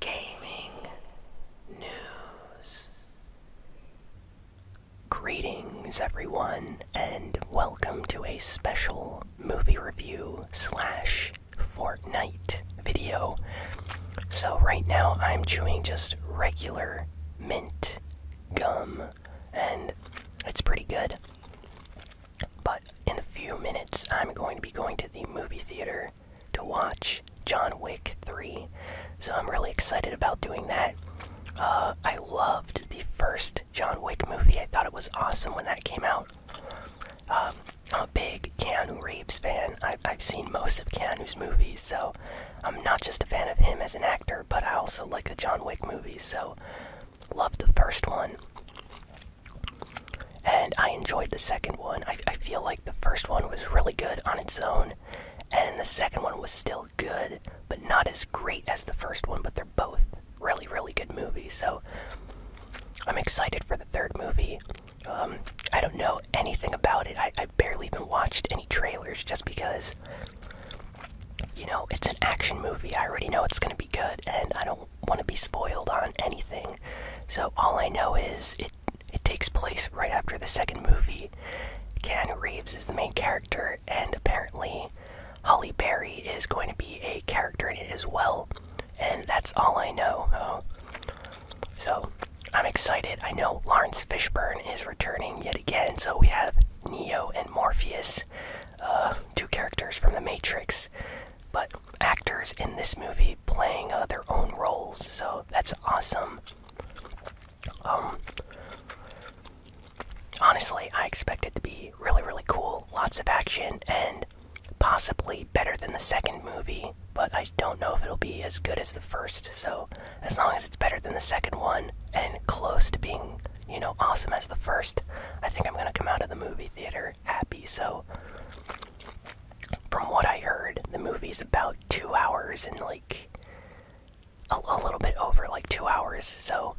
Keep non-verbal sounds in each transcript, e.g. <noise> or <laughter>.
gaming news. Greetings, everyone, and welcome to a special movie review slash Fortnite video. So, right now, I'm chewing just regular mint gum, and it's pretty good. But in a few minutes, I'm going to be going to the movie theater to watch John Wick 3. So I'm really excited about doing that. Uh, I loved the first John Wick movie. I thought it was awesome when that came out. Um, I'm a big Keanu Reeves fan. I've, seen most of Keanu's movies, so I'm not just a fan of him as an actor, but I also like the John Wick movies, so loved the first one. And I enjoyed the second one. I feel like the first one was really good on its own, and the second one was still good, but not as great as the first one. But they're both really, really good movies. So I'm excited for the third movie. Um, I don't know anything about it. I barely even watched any trailers just because, you know, it's an action movie. I already know it's going to be good, and I don't want to be spoiled on anything. So all I know is it it takes place right after the second movie. Ken Reeves is the main character, and apparently, Holly Berry is going to be a character in it as well. And that's all I know. so, I'm excited. I know Lawrence Fishburne is returning yet again, so we have Neo and Morpheus, uh, two characters from The Matrix. But actors in this movie playing uh, their own roles, so that's awesome. Um, honestly, I expect it to be really, really cool. Lots of action and possibly better than the second movie, but I don't know if it'll be as good as the first. So, as long as it's better than the second one and close to being, you know, awesome as the first, I think I'm gonna come out of the movie theater happy. So, from what I heard, the movie's about two hours and like a, little bit over like two hours. So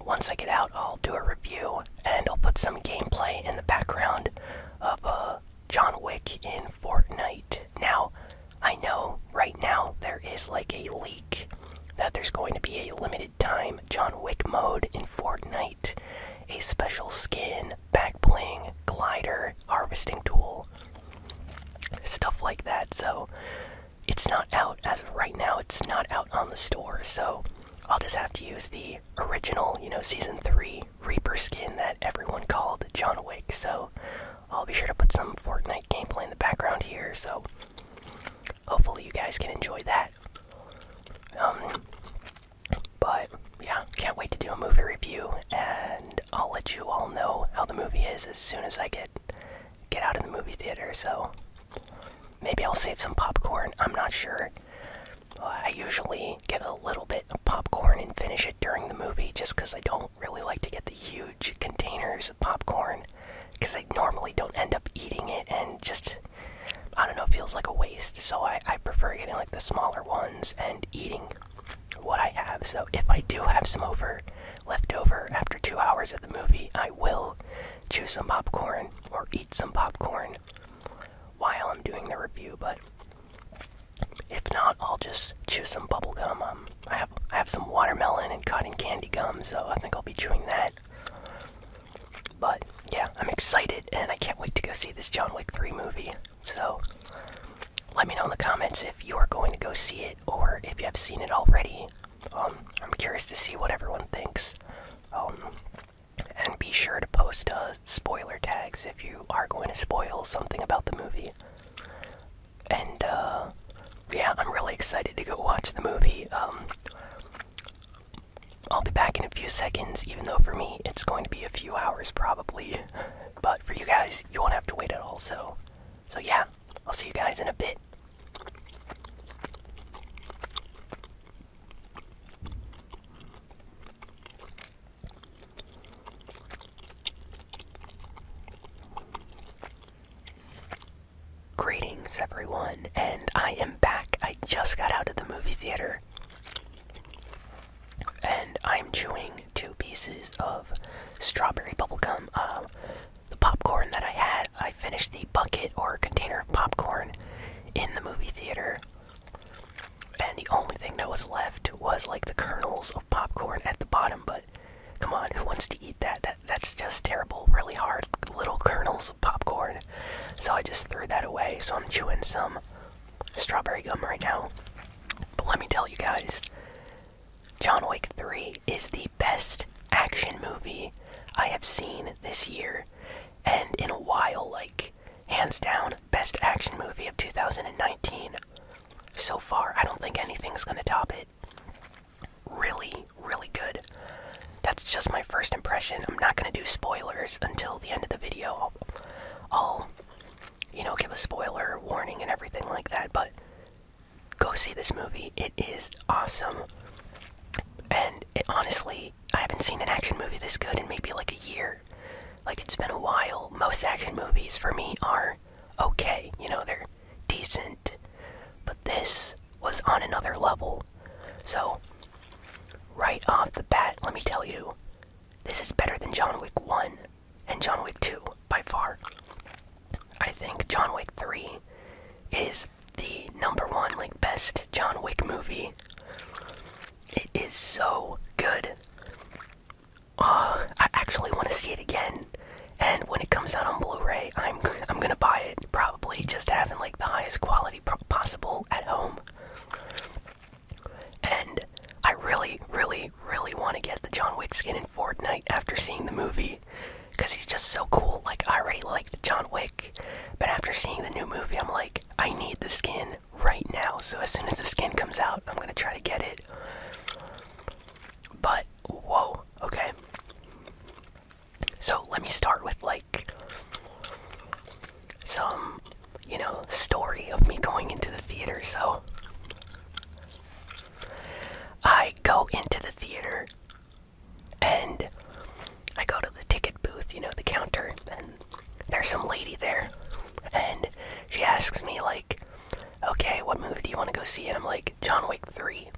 once I get out, I'll do a review and I'll put some gameplay in the background of uh, John Wick in Fortnite. Now, I know right now there is like a leak that there's going to be a limited time John Wick mode in Fortnite, a special skin, back playing glider, harvesting tool, stuff like that. So it's not out as of right now, it's not out on the store. So I'll just have to use the original, you know, season 3 Reaper skin that everyone called John Wick. So I'll be sure to put some Fortnite gameplay in the background here. So hopefully you guys can enjoy that. Um, but yeah, can't wait to do a movie review, and I'll let you all know how the movie is as soon as I get get out of the movie theater. So maybe I'll save some popcorn. I'm not sure. I usually get a little bit of popcorn and finish it during the movie, just because I don't really like to get the huge containers of popcorn, because I normally don't end up eating it, and just I don't know, it feels like a waste. So I I prefer getting like the smaller ones and eating what I have. So if I do have some over left over after two hours of the movie, I will chew some popcorn or eat some popcorn while I'm doing the review. But if not, I'll just chew some bubble gum. Um, I have I have some watermelon and cotton candy gum, so I think I'll be chewing that. But yeah, I'm excited and I can't wait to go see this John Wick 3 movie. So, let me know in the comments if you are going to go see it or if you have seen it already. Um, I'm curious to see what everyone thinks. Um, and be sure to post uh, spoiler tags if you are going to spoil something about the movie. And uh, yeah, I'm really excited to go watch the movie. Um, I'll be back in a few seconds, even though for me it's going to be a few hours probably. But for you guys, you won't have to wait at all. So, so yeah, I'll see you guys in a bit. Greetings, everyone, and I am back. I just got out of the movie theater. And I'm chewing two pieces of strawberry bubblegum. Uh, um, the popcorn that I had, I finished the bucket or container of popcorn in the movie theater. And the only thing that was left was like the kernels of popcorn at the bottom, but come on, who wants to eat that? That that's just terrible, really hard little kernels of popcorn. So I just threw that away. So I'm chewing some strawberry gum right now. But let me tell you guys John Wick 3 is the best action movie I have seen this year, and in a while, like, hands down, best action movie of 2019. So far, I don't think anything's gonna top it. Really, really good. That's just my first impression. I'm not gonna do spoilers until the end of the video. Oh you know, give a spoiler warning and everything like that, but go see this movie. It is awesome. And honestly, I haven't seen an action movie this good in maybe like a year. Like, it's been a while. Most action movies for me are okay, you know, they're decent. But this was on another level. So, right off the bat, let me tell you, this is better than John Wick 1 and John Wick 2 by far. I think John Wick 3 is the number one, like, best John Wick movie. It is so good. Uh, I actually want to see it again. And when it comes out on Blu-ray, I'm I'm gonna buy it probably just having like the highest quality possible at home. And I really, really, really want to get the John Wick skin in Fortnite after seeing the movie. Because he's just so cool. Like, I already liked John Wick. But after seeing the new movie, I'm like, I need the skin right now. So as soon as the skin comes out, I'm going to try to get it. But, whoa, okay. So let me start with, like, some you know, story of me going into the theater, so. I go into the theater and I go to the ticket booth, you know, the counter, and there's some lady there. And she asks me, like, okay, what movie do you want to go see? And I'm like, John Wick 3.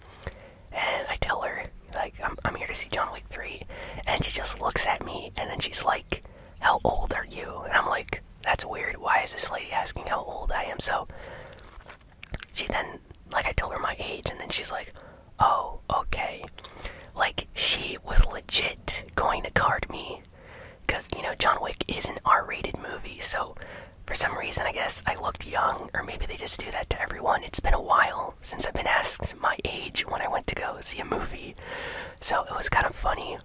And I tell her, like, I'm, I'm here to see John Wick 3. And she just looks at me, and then she's like, how old are you? And I'm like, that's weird. Why is this lady asking how old I am? So she then, like, I told her my age, and then she's like, oh, okay. Like, she was legit going to card me. Because, you know, John Wick is an R rated movie, so for some reason, I guess I looked young, or maybe they just do that to everyone. It's been a while since I've been asked my age when I went to go see a movie, so it was kind of funny.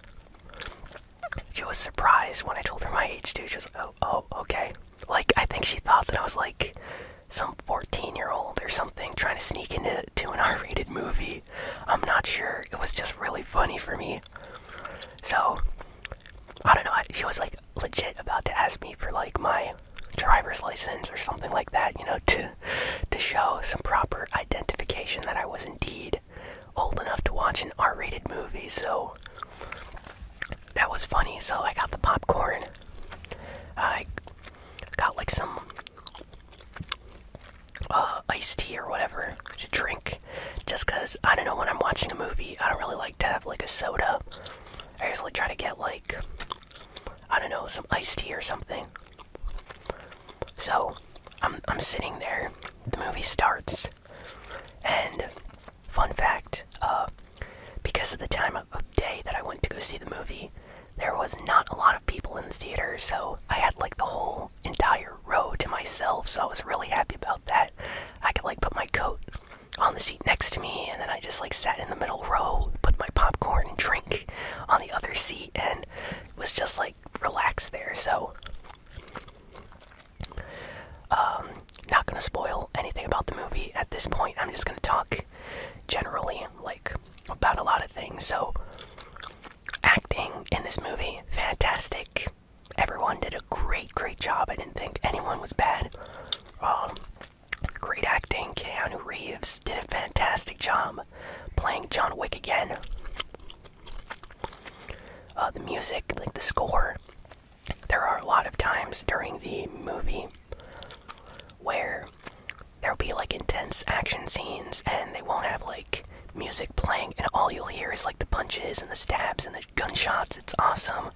She was surprised when I told her my age too. She was like, oh, oh, okay. Like, I think she thought that I was like some 14 year old or something trying to sneak into an <laughs> R rated movie. I'm not sure. It was just really funny for me. So, I don't know. She was like legit about to ask me for like my driver's license or something like that, you know, to to show some proper identification that I was indeed old enough to watch an R-rated movie, so that was funny. So I got the popcorn. I got like some uh, iced tea or whatever to drink, just cause I don't know when I'm watching a movie, I don't really like to have like a soda. I usually try to get like I don't know some iced tea or something. So I'm I'm sitting there. The movie starts, and fun fact, uh, because of the time of, of day that I went to go see the movie, there was not a lot of people in the theater. So I had like the whole entire row to myself. So I was really happy about that. I could like put my coat on the seat next to me, and then I just like sat in the middle row, put my popcorn and drink on the other seat, and was just like relaxed there. So um, not gonna spoil anything about the movie at this point. I'm just gonna talk generally, like about a lot of things. So, acting in this movie, fantastic. Everyone did a great, great job. I didn't think anyone was bad. Um, great acting. Keanu Reeves did a fantastic job playing John Wick again. Uh, the music, like the score, there are a lot of times during the movie where there'll be like intense action scenes and they won't have like music playing and all you'll hear is like the punches and the stabs and the gunshots it's awesome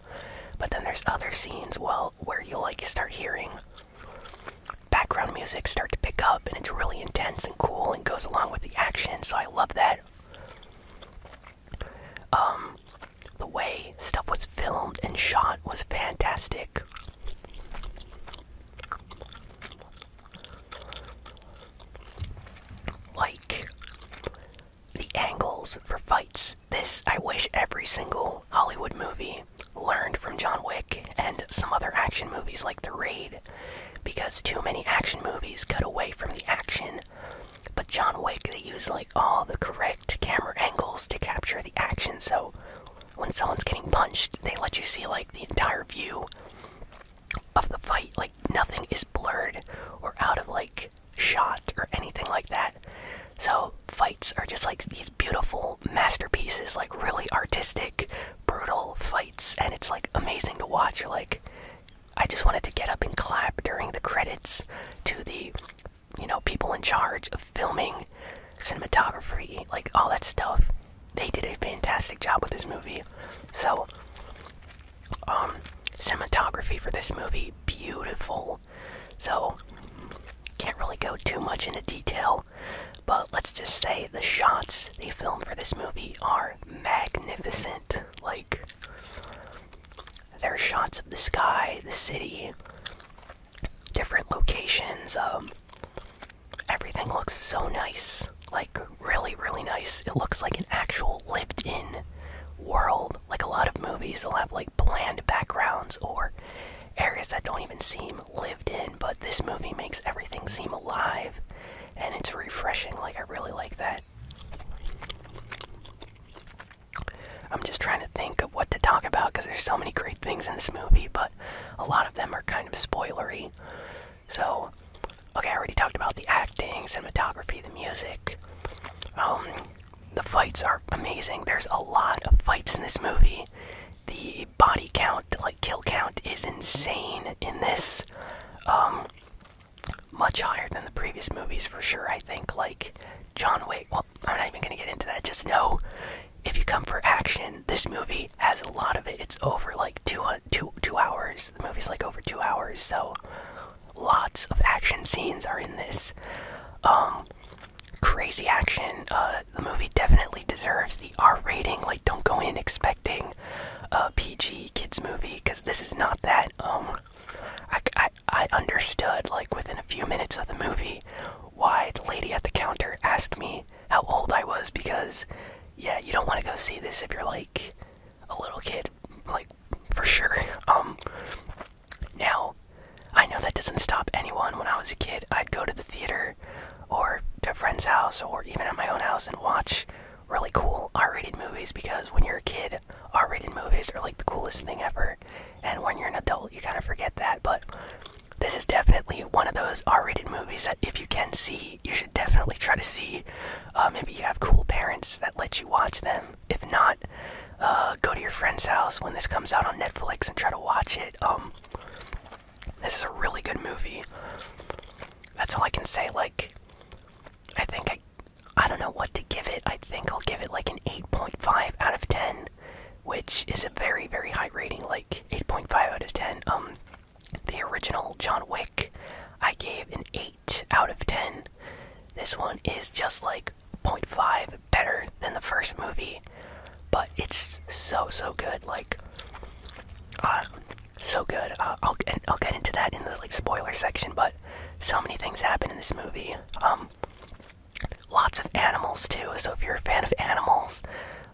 but then there's other scenes well where you'll like start hearing background music start to pick up and it's really intense and cool and goes along with the action so i love that um, the way stuff was filmed and shot was fantastic. Like the angles for fights. This, I wish every single Hollywood movie learned from John Wick and some other action movies like The Raid because too many action movies cut away from the action. But John Wick, they use like all the correct camera angles to capture the action. So when someone's getting punched, they let you see like the entire view of the fight. Like nothing is blurred or out of like shot or anything like that. So fights are just like these beautiful masterpieces, like really artistic, brutal fights, and it's like amazing to watch. like, I just wanted to get up and clap during the credits to the, you know, people in charge of filming, cinematography, like all that stuff. They did a fantastic job with this movie. So, um, cinematography for this movie, beautiful. So, can't really go too much into detail, but let's just say the shots they filmed for this movie are magnificent. Like, there are shots of the sky, the city, different locations. Um, everything looks so nice. Like, really, really nice. It looks like an actual lived in world. Like, a lot of movies, they'll have like bland backgrounds or areas that don't even seem lived in, but this movie makes everything seem alive and it's refreshing. Like, I really like that. I'm just trying to think of what to talk about because there's so many great things in this movie, but a lot of them are kind of spoilery. So, okay, I already talked about the acting, cinematography, the music. Um, the fights are amazing. There's a lot of fights in this movie. The body count, like kill count, is insane in this. Um, much higher than the previous movies for sure. I think like John Wick. Well, I'm not even gonna get into that. Just know if you come for action, this movie has a lot of it. It's over like two two two hours. The movie's like over two hours, so lots of action scenes are in this. Um, crazy action. Uh, the movie definitely deserves the R rating. Like, don't go in expecting a PG kids movie because this is not that. Um, I, I understood like within a few minutes of the movie why the lady at the counter asked me how old I was because yeah, you don't want to go see this if you're like a little kid, like for sure. Um, now I know that doesn't stop anyone. When I was a kid, I'd go to the theater or to a friend's house or even at my own house and watch really cool R-rated movies because when you're a kid, R-rated movies are like the coolest thing ever, and when you're an adult, you kind of forget that. But this is definitely one of those R-rated movies that if you can see, you should definitely try to see. Uh, maybe you have cool parents that let you watch them. If not, uh, go to your friend's house when this comes out on Netflix and try to watch it. Um, this is a really good movie. That's all I can say. Like, I think I I don't know what to give it. I think I'll give it like an 8.5 out of 10, which is a very, very high rating, like 8.5 out of 10. Um, the original John Wick, I gave an 8 out of 10. This one is just like 0.5 better than the first movie, but it's so, so good. Like, uh, so good. Uh, I'll I'll get into that in the like spoiler section, but so many things happen in this movie. Um, lots of animals too. So if you're a fan of animals,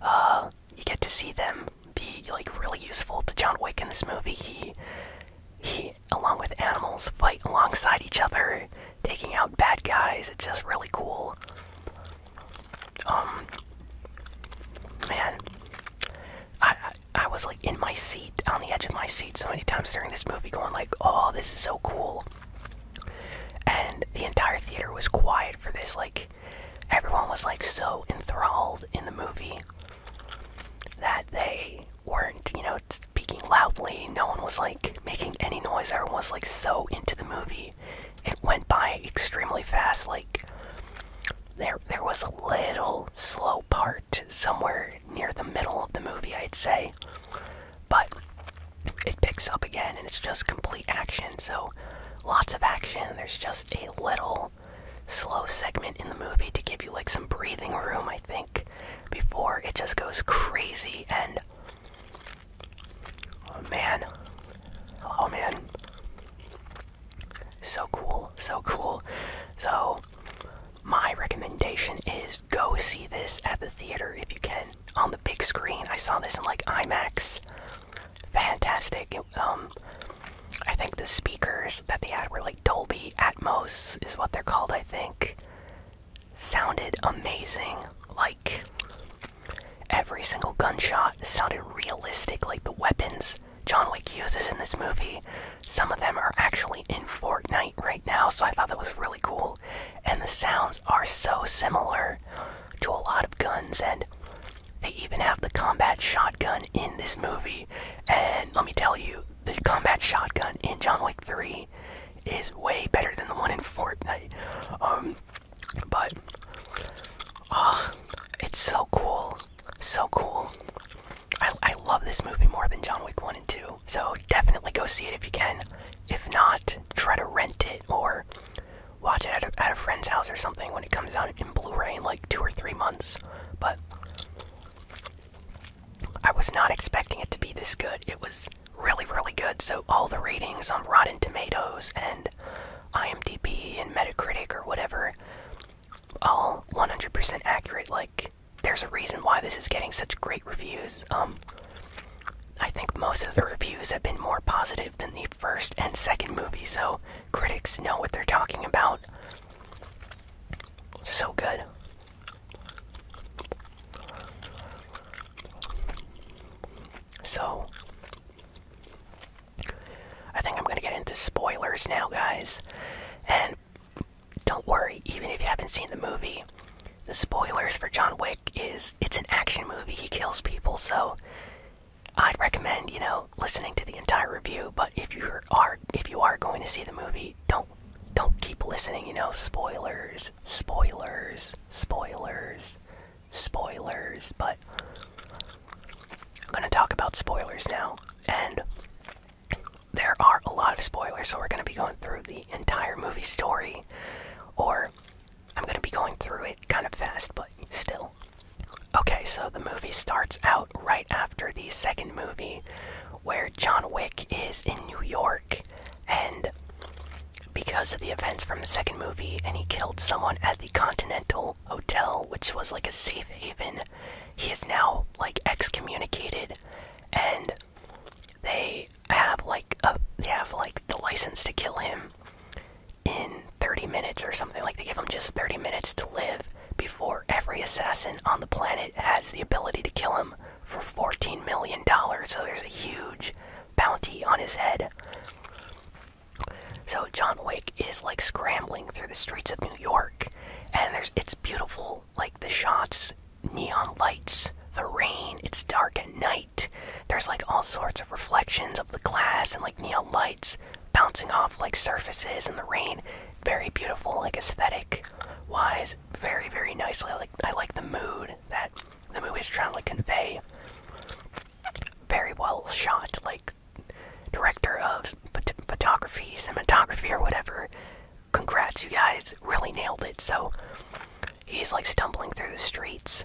uh, you get to see them be like really useful to John Wick in this movie. He he, along with animals, fight alongside each other, taking out bad guys. It's just really cool. Um, man, I, I was like in my seat, on the edge of my seat, so many times during this movie, going like, "Oh, this is so cool." And the entire theater was quiet for this. Like, everyone was like so enthralled in the movie that they weren't, you know, speaking loudly. No one was like making any noise. Everyone was like so into the movie. It went by extremely fast. Like, there there was a little slow part somewhere near the middle of the movie I'd say but it picks up again and it's just complete action so lots of action there's just a little slow segment in the movie to give you like some breathing room I think before it just goes crazy and oh, man oh man so cool, so cool. So, my recommendation is go see this at the theater if you can. On the big screen, I saw this in like IMAX. Fantastic. um, I think the speakers that they had were like Dolby Atmos, is what they're called, I think. Sounded amazing. Like, every single gunshot sounded realistic, like the weapons John Wick uses in this movie. Some of them are actually in Fortnite right now, so I thought that was really cool. And the sounds are so similar to a lot of guns, and they even have the combat shotgun in this movie. And let me tell you, the combat shotgun in John Wick 3 is way better than the one in Fortnite. Um, but, ah, it's so cool. So cool. I, love this movie more than John Wick 1 and 2, so definitely go see it if you can. If not, try to rent it or watch it at a, at a friend's house or something when it comes out in Blu ray in like two or three months. But I was not expecting it to be this good. It was really, really good. So, all the ratings on Rotten Tomatoes and IMDb and Metacritic or whatever, all 100% accurate. Like, there's a reason why this is getting such great reviews. Um, I think most of the reviews have been more positive than the first and second movie, so critics know what they're talking about. So good. So, I think I'm gonna get into spoilers now, guys. And don't worry, even if you haven't seen the movie, the spoilers for John Wick is it's an action movie. He kills people, so I'd recommend, you know, listening to the entire review, but if you are if you are going to see the movie, don't don't keep listening, you know, spoilers, spoilers, spoilers, spoilers, but I'm going to talk about spoilers now and there are a lot of spoilers, so we're going to be going through the entire movie story, or I'm going to be going through it kind of fast, but still. Okay, so the movie starts out right after the second movie, where John Wick is in New York, and because of the events from the second movie, and he killed someone at the Continental Hotel, which was like a safe haven he is now like excommunicated, and they have like a, they have like the license to kill him in 30 minutes or something. Like they give him just 30 minutes to live before every assassin on the planet has the ability to kill him for 14 million dollars. So there's a huge bounty on his head. So John Wick is like scrambling through the streets of New York, and there's it's beautiful like the shots, neon lights, the rain, it's dark at night. There's like all sorts of reflections of the glass and like neon lights bouncing off like surfaces in the rain. Very beautiful, like aesthetic wise, very, very nicely. like I like the mood that the movie is trying to convey. Very well shot, like director of photography, cinematography, or whatever Congrats, you guys really nailed it. So he's like stumbling through the streets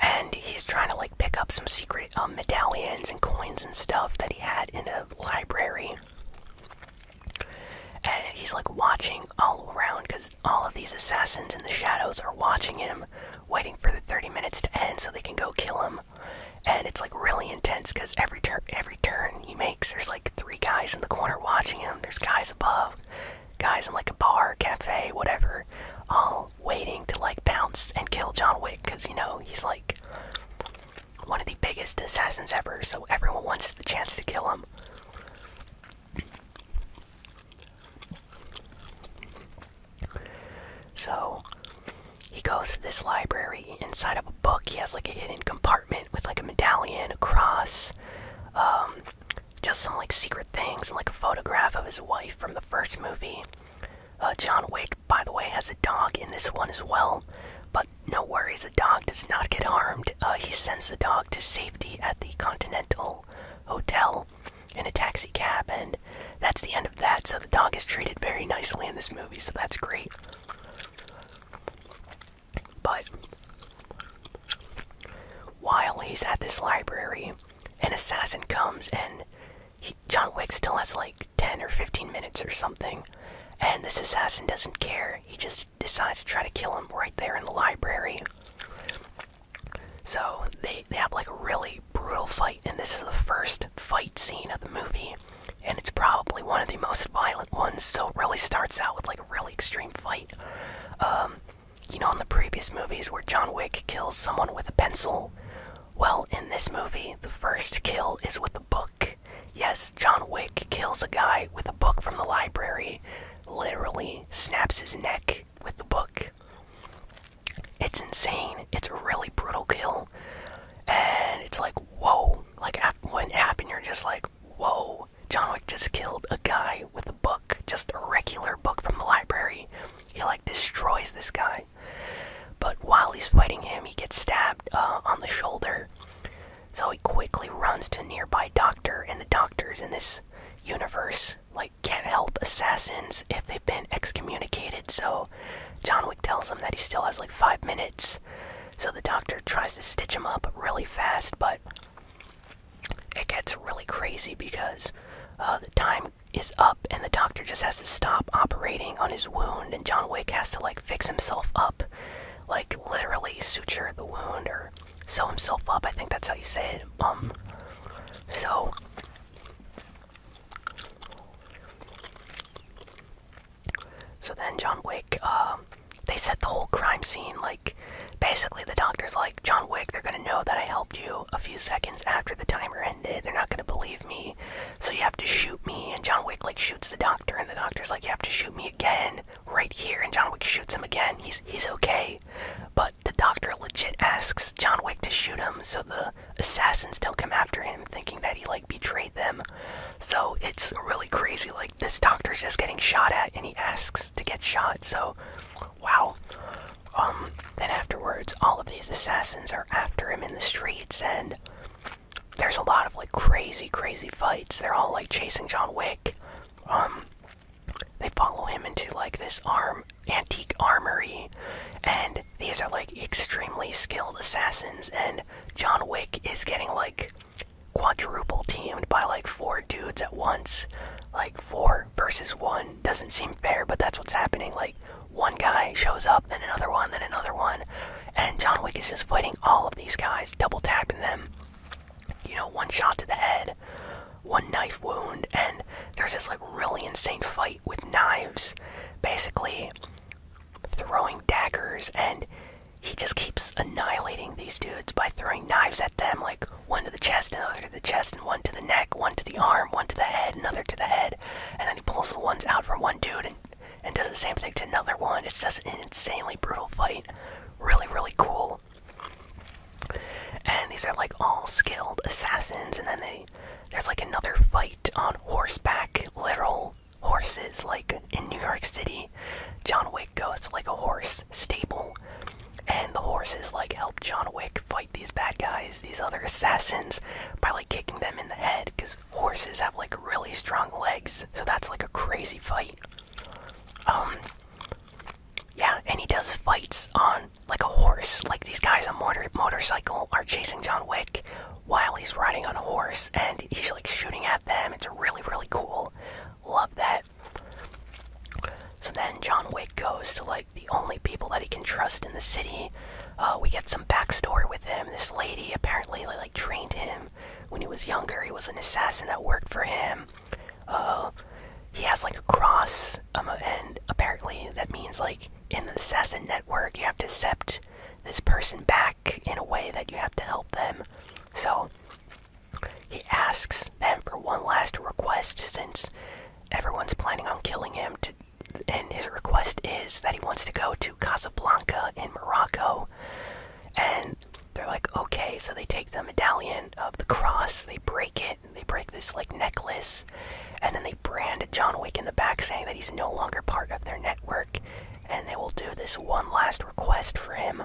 and he's trying to like pick up some secret um, medallions and coins and stuff that he had in a library. And he's like watching all around because all of these assassins in the shadows are watching him, waiting for the 30 minutes to end so they can go kill him. And it's like really intense because every turn, every turn he makes, there's like three guys in the corner watching him. There's guys above, guys in like a bar, cafe, whatever, all waiting to like bounce and kill John Wick because you know he's like one of the biggest assassins ever. So everyone wants the chance to kill him. So he goes to this library. Inside of a book, he has like a hidden compartment with like a medallion, a cross, um, just some like secret things, like a photograph of his wife from the first movie. Uh, John Wick, by the way, has a dog in this one as well. But no worries, the dog does not get harmed. Uh, he sends the dog to safety at the Continental Hotel in a taxi cab, and that's the end of that. So the dog is treated very nicely in this movie, so that's great. But while he's at this library, an assassin comes and John Wick still has like 10 or 15 minutes or something. And this assassin doesn't care. He just decides to try to kill him right there in the library. So they, they have like a really brutal fight, and this is the first fight scene of the movie and it's probably one of the most violent ones. So it really starts out with like a really extreme fight. Um, you know, in the previous movies where John Wick kills someone with a pencil, well, in this movie, the first kill is with a book. Yes, John Wick kills a guy with a book from the library, literally snaps his neck with the book. It's insane. It's a really brutal kill. And it's like, whoa, like when it happened, you're just like, whoa, John Wick just killed a guy with a book, just a regular book from the library. He like destroys this guy. But while he's fighting him, he gets stabbed uh, on the shoulder. So he quickly runs to nearby doctor, and the doctors in this universe like can't help assassins if they've been excommunicated. So John Wick tells him that he still has like five minutes so the doctor tries to stitch him up really fast, but it gets really crazy because uh, the time is up and the doctor just has to stop operating on his wound and John Wick has to like fix himself up. Like literally suture the wound or sew himself up. I think that's how you say it. Um so so then John Wick, um, they set the whole crime scene like basically the doctor's like, John Wick, they're gonna know that I helped you a few seconds after the timer ended. They're not gonna believe me. So you have to shoot me and John Wick like shoots the doctor and the doctor's like, You have to shoot me again right here and John Wick shoots him again. He's he's okay. But the doctor legit asks John Wick to shoot him so the assassins don't come after him thinking that he like like betrayed them. So it's really crazy. Like this doctor's just getting shot at, and he asks to get shot. So, wow. Um. Then afterwards, all of these assassins are after him in the streets, and there's a lot of like crazy, crazy fights. They're all like chasing John Wick. Um. They follow him into like this arm antique armory, and these are like extremely skilled assassins. And John Wick is getting like quadruple teamed by like four dudes at once. Like four versus one doesn't seem fair, but that's what's happening. Like one guy shows up, then another one, then another one, and John Wick is just fighting all of these guys, double tapping them. You know, one shot to the head, one knife wound, and there's this like really insane fight with knives, basically throwing daggers and he just keeps annihilating these dudes by throwing knives at them, like one to the chest, another to the chest, and one to the neck, one to the arm, one to the head, another to the head, and then he pulls the ones out from one dude and and does the same thing to another one. It's just an insanely brutal fight. Really, really cool. And these are like all skilled assassins, and then they there's like another fight on horseback, literal horses like in New York City. John Wick goes like a horse stable and the horses like help John Wick fight these bad guys, these other assassins by like kicking them in the head cuz horses have like really strong legs. So that's like a crazy fight. Um yeah, and he does fights on like a horse. Like these guys on motor motorcycle are chasing John Wick while he's riding on a horse and he's like shooting at them. It's really, really cool. Love that. So then John Wick goes to like the only people that he can trust in the city. Uh, we get some backstory with him. This lady apparently like trained him when he was younger. He was an assassin that worked for him. Uh, he has like a cross, um, and apparently that means like in the assassin network you have to accept this person back in a way that you have to help them so he asks them for one last request since everyone's planning on killing him and his request is that he wants to go to Casablanca in Morocco. And they're like, okay, so they take the medallion of the cross, they break it, they break this like necklace, and then they brand John Wick in the back saying that he's no longer part of their network and they will do this one last request for him.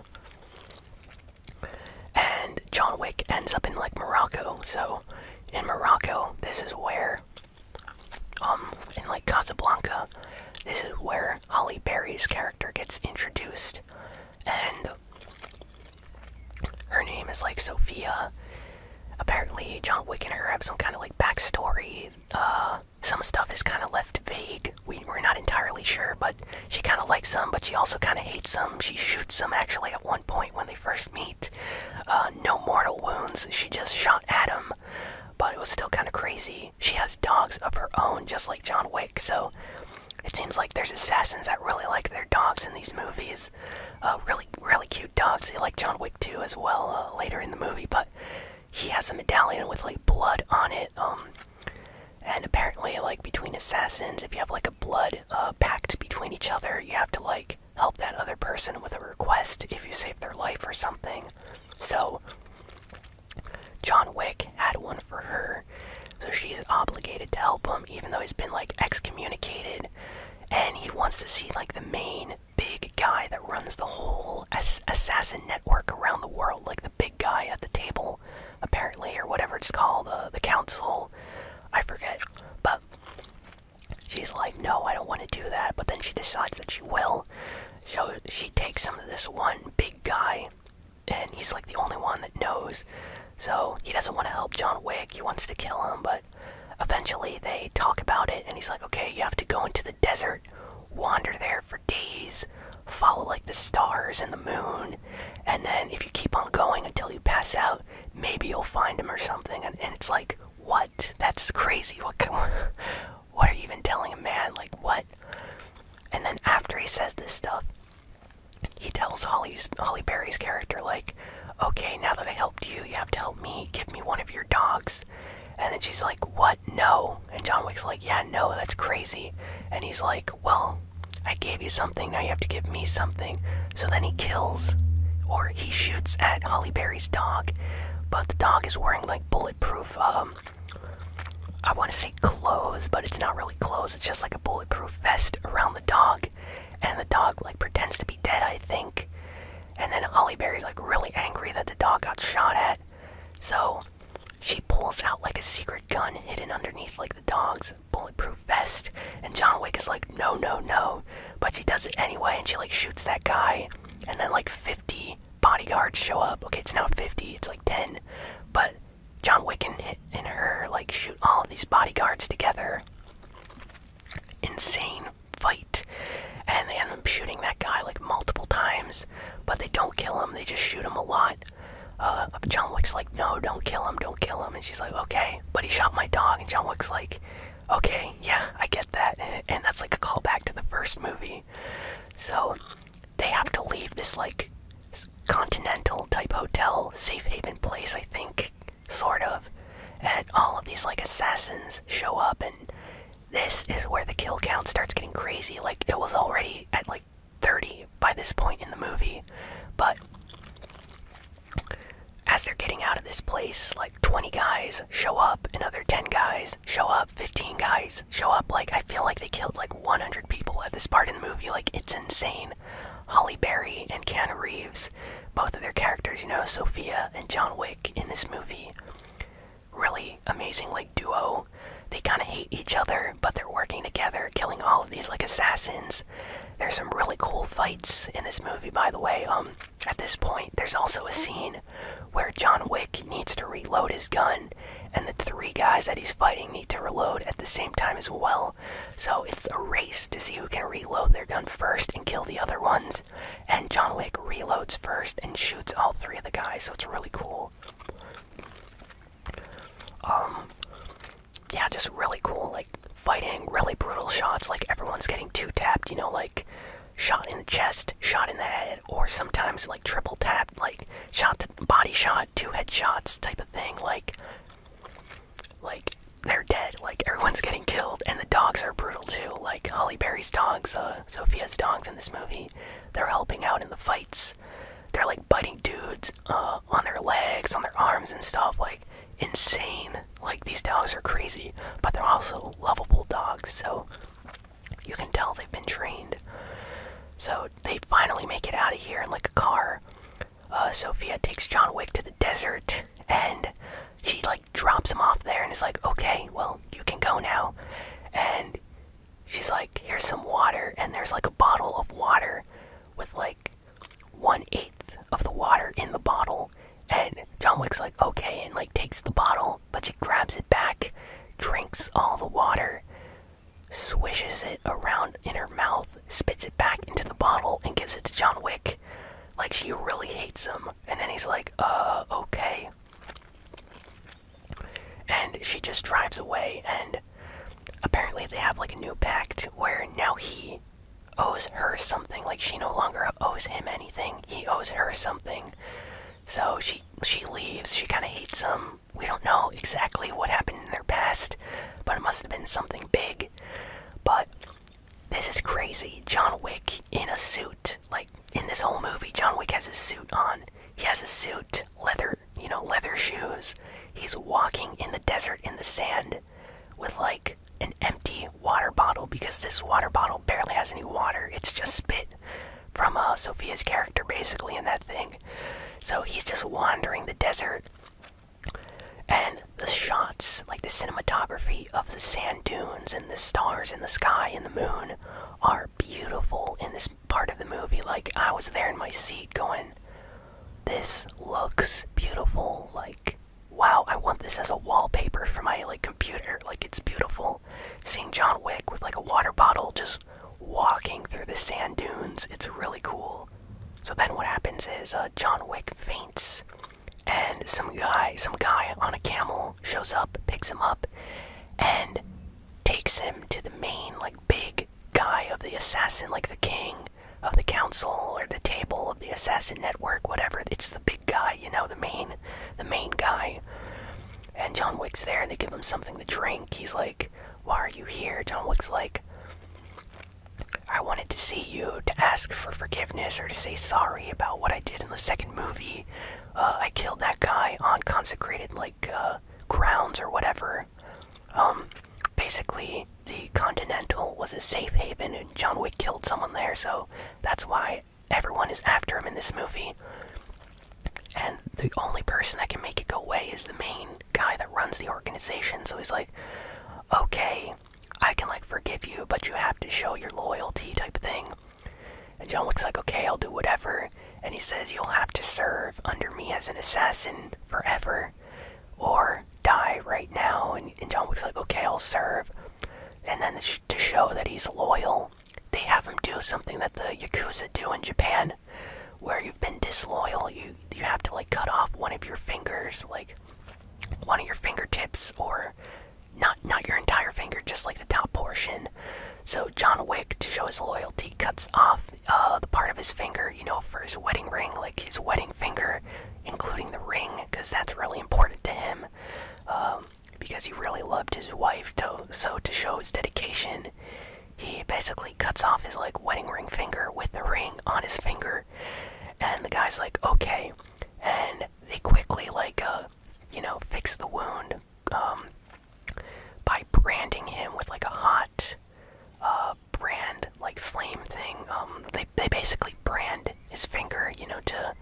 And John Wick ends up in like Morocco, so in Morocco, this is where, um, in like Casablanca, this is where Holly Berry's character gets introduced, and her name is like Sophia. Apparently, John Wick and her have some kind of like backstory. Uh, some stuff is kind of left vague. We, are not entirely sure, but she kind of likes some, but she also kind of hates some. She shoots some actually at one point when they first meet. Uh, no mortal wounds, she just shot at him, but it was still kind of crazy. She has dogs of her own, just like John Wick, so it seems like there's assassins that really like their dogs in these movies. Uh, really, really cute dogs. They like John Wick too, as well, uh, later in the movie, but he has a medallion with like blood on it. Um, and apparently, like between assassins, if you have like a blood uh, pact between each other, you have to like help that other person with a request if you save their life or something. So John Wick had one for her, so she's obligated to help him, even though he's been like excommunicated, and he wants to see like the main big guy that runs the whole assassin network around the world, like the big guy at the table, apparently, or whatever it's called, uh, the council. I forget. But she's like, no, I don't want to do that. But then she decides that she will. So she takes him to this one big guy, and he's like the only one that knows. So he doesn't want to help John Wick, he wants to kill him, but eventually they talk about it, and he's like, okay, you have to go into the desert, wander there for days, follow like the stars and the moon, and then if you keep on going until you pass out, maybe you'll find him or something. And, it's like, what? That's crazy. What? <laughs> what are you even telling a man? Like what? And then after he says this stuff, he tells Holly's Holly Berry's character like, "Okay, now that I helped you, you have to help me. Give me one of your dogs." And then she's like, "What?" No. And John Wick's like, yeah, no, that's crazy. And he's like, well, I gave you something, now you have to give me something. So then he kills, or he shoots at Holly Berry's dog, but the dog is wearing like bulletproof, um, I want to say clothes, but it's not really clothes, it's just like a bulletproof vest around the dog. And the dog like pretends to be dead, I think. And then Holly Berry's like really angry that the dog got shot at. So she pulls out like a secret gun hidden underneath like the dog's bulletproof vest, and John Wick is like, no, no, no. But she does it anyway, and she like shoots that guy, and then like 50 bodyguards show up. Okay, it's now 50, it's like 10. But John Wick and, and her like shoot all these bodyguards together. Insane fight. And they end up shooting that guy like multiple times but they don't kill him. They just shoot him a lot. Uh, John Wick's like, no, don't kill him, don't kill him, and she's like, okay, but he shot my dog, and John Wick's like, okay, yeah, I get that, and that's like a callback to the first movie. So they have to leave this like continental type hotel, safe haven place, I think, sort of, and all of these like assassins show up and this is where the kill count starts getting crazy. Like, it was already at like 30 by this point in the movie, but as they're getting out of this place, like 20 guys show up, another 10 guys show up, 15 guys show up. Like, I feel like they killed like 100 people at this part in the movie. Like, it's insane. Holly Berry and Keanu Reeves, both of their characters, you know, Sophia and John Wick in this movie, really amazing like duo. They kind of hate each other, but they're working together, killing all of these like assassins. There's some really cool fights in this movie, by the way. Um, at this point, there's also a scene where John Wick needs to reload his gun, and the three guys that he's fighting need to reload at the same time as well. So it's a race to see who can reload their gun first and kill the other ones. And John Wick reloads first and shoots all three of the guys, so it's really cool. Um, yeah, just really cool, like fighting, really brutal shots, like everyone's getting two tapped, you know, like shot in the chest, shot in the head, or sometimes like triple tapped, like shot body shot, two headshots type of thing, like like they're dead, like everyone's <laughs> getting killed, and the dogs are brutal too, like Holly Berry's dogs, uh Sophia's dogs in this movie, they're helping out in the fights they're like biting dudes uh, on their legs, on their arms, and stuff. Like insane. Like these dogs are crazy, but they're also lovable dogs. So you can tell they've been trained. So they finally make it out of here in like a car. Uh, Sophia takes John Wick to the desert, and she like drops him off there, and is like, "Okay, well you can go now." And she's like, here's some water, and there's like a bottle of water with like one eighth of the water in the bottle. And John Wick's like, okay, and like takes the bottle, but she grabs it back, drinks all the water, swishes it around in her mouth, spits it back into the bottle, and gives it to John Wick. Like she really hates him. And then he's like, uh, okay and she just drives away and apparently they have like a new pact where now he owes her something like she no longer owes him anything he owes her something so she she leaves she kind of hates him we don't know exactly what happened in their past but it must have been something big but this is crazy john wick in a suit like in this whole movie john wick has a suit on he has a suit leather you know, leather shoes. He's walking in the desert in the sand with like an empty water bottle because this water bottle barely has any water. It's just spit from uh, Sophia's character basically in that thing. So he's just wandering the desert. And the shots, like the cinematography of the sand dunes and the stars in the sky and the moon, are beautiful in this part of the movie like i was there in my seat going this looks beautiful like wow i want this as a wallpaper for my like computer like it's beautiful seeing john wick with like a water bottle just walking through the sand dunes it's really cool so then what happens is uh, john wick faints and some guy some guy on a camel shows up picks him up and takes him to the main like big guy of the assassin, like the king of the council or the table of the assassin network, whatever. It's the big guy, you know, the main, the main guy. And John Wick's there, and they give him something to drink. He's like, "Why are you here?" John Wick's like, "I wanted to see you to ask for forgiveness or to say sorry about what I did in the second movie. Uh, I killed that guy on consecrated like." Uh, grounds or whatever. Um, basically, the Continental was a safe haven, and John Wick killed someone there, so that's why everyone is after him in this movie. And the only person that can make it go away is the main guy that runs the organization. So he's like, okay, I can like forgive you, but you have to show your loyalty type thing. And John Wick's like, okay, I'll do whatever and he says, You'll have to serve under me as an assassin forever, or die right now. And, and John Wick's like, Okay, I'll serve. And then to show that he's loyal, they have him do something that the Yakuza do in Japan, where you've been disloyal, you, you have to like cut off one of your fingers, like one of your fingertips, or not, not your entire finger, just like the top portion. So John Wick, to show his loyalty, cuts off uh, the part of his finger, you know, for his wedding ring, like his wedding finger, including the ring, because that's really important to him. Um, because he really loved his wife, so to show his dedication, he basically cuts off his like wedding ring finger with the ring on his finger, and the guy's like, okay, and they quickly like uh, you know fix the wound um, by branding him with like a hot uh, brand like flame thing. Um, they they basically brand his finger, you know, to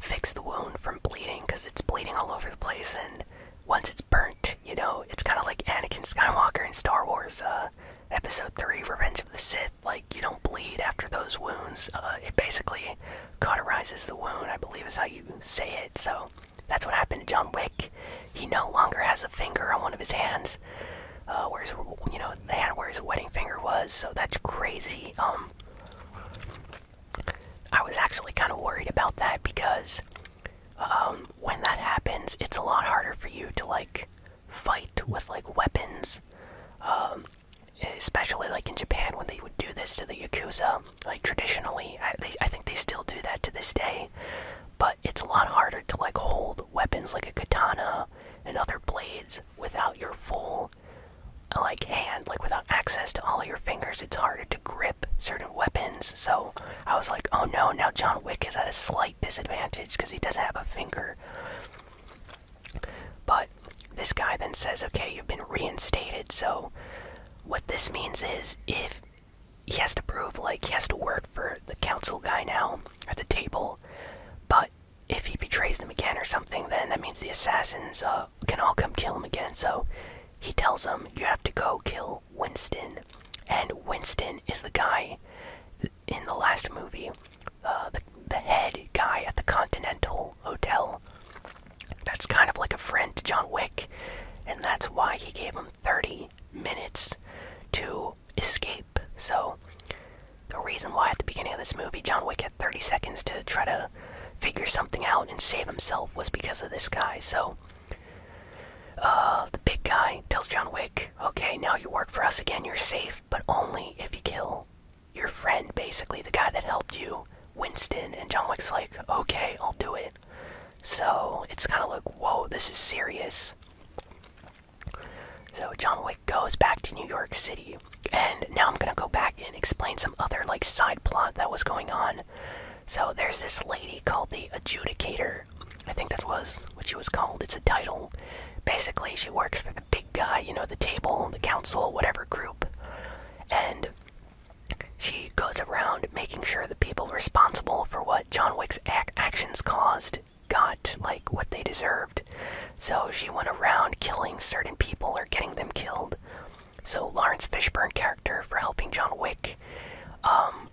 fix the wound from bleeding because it's bleeding all over the place. And once it's burnt, you know, it's kind of like Anakin Skywalker in Star Wars uh, Episode Three: Revenge of the Sith. Like you don't bleed after those wounds. Uh, it basically cauterizes the wound. I believe is how you say it. So that's what happened to John Wick. He no longer has a finger on one of his hands, uh, where's you know the hand where his wedding finger was. So that's crazy. Um, I was actually kind of worried about that because um, when that happens, it's a lot harder for you to like fight with like weapons. Um, especially like in Japan when they would do this to the Yakuza, like traditionally I, think they still do that to this day but it's a lot harder to like hold weapons like a katana and other blades without your full like hand like without access to all your fingers it's harder to grip certain weapons so i was like oh no now john wick is at a slight disadvantage because he doesn't have a finger but this guy then says okay you've been reinstated so what this means is if he has to prove like he has to work for the council guy now at the table, but if he betrays them again or something, then that means the assassins uh, can all come kill him again. So he tells them, You have to go kill Winston. And Winston is the guy in the last movie, uh, the head guy at the Continental Hotel. That's kind of like a friend to John Wick, and that's why he gave him 30 minutes to escape. So, the reason why at the beginning of this movie John Wick had 30 seconds to try to figure something out and save himself was because of this guy. So, uh, the big guy tells John Wick, okay, now you work for us again, you're safe, but only if you kill your friend, basically, the guy that helped you, Winston. And John Wick's like, okay, I'll do it. So it's kind of like, whoa, this is serious. So John Wick goes back to New York City, and now I'm gonna go back and explain some other like side plot that was going on. So there's this lady called the Adjudicator. I think that was what she was called. It's a title. Basically, she works for the big guy, you know, the table, the council, whatever group, and she goes around making sure the people responsible for what John Wick's actions caused got, like, what they deserved. So she went around killing certain people or getting them killed. So Lawrence Fishburne character for helping John Wick, um,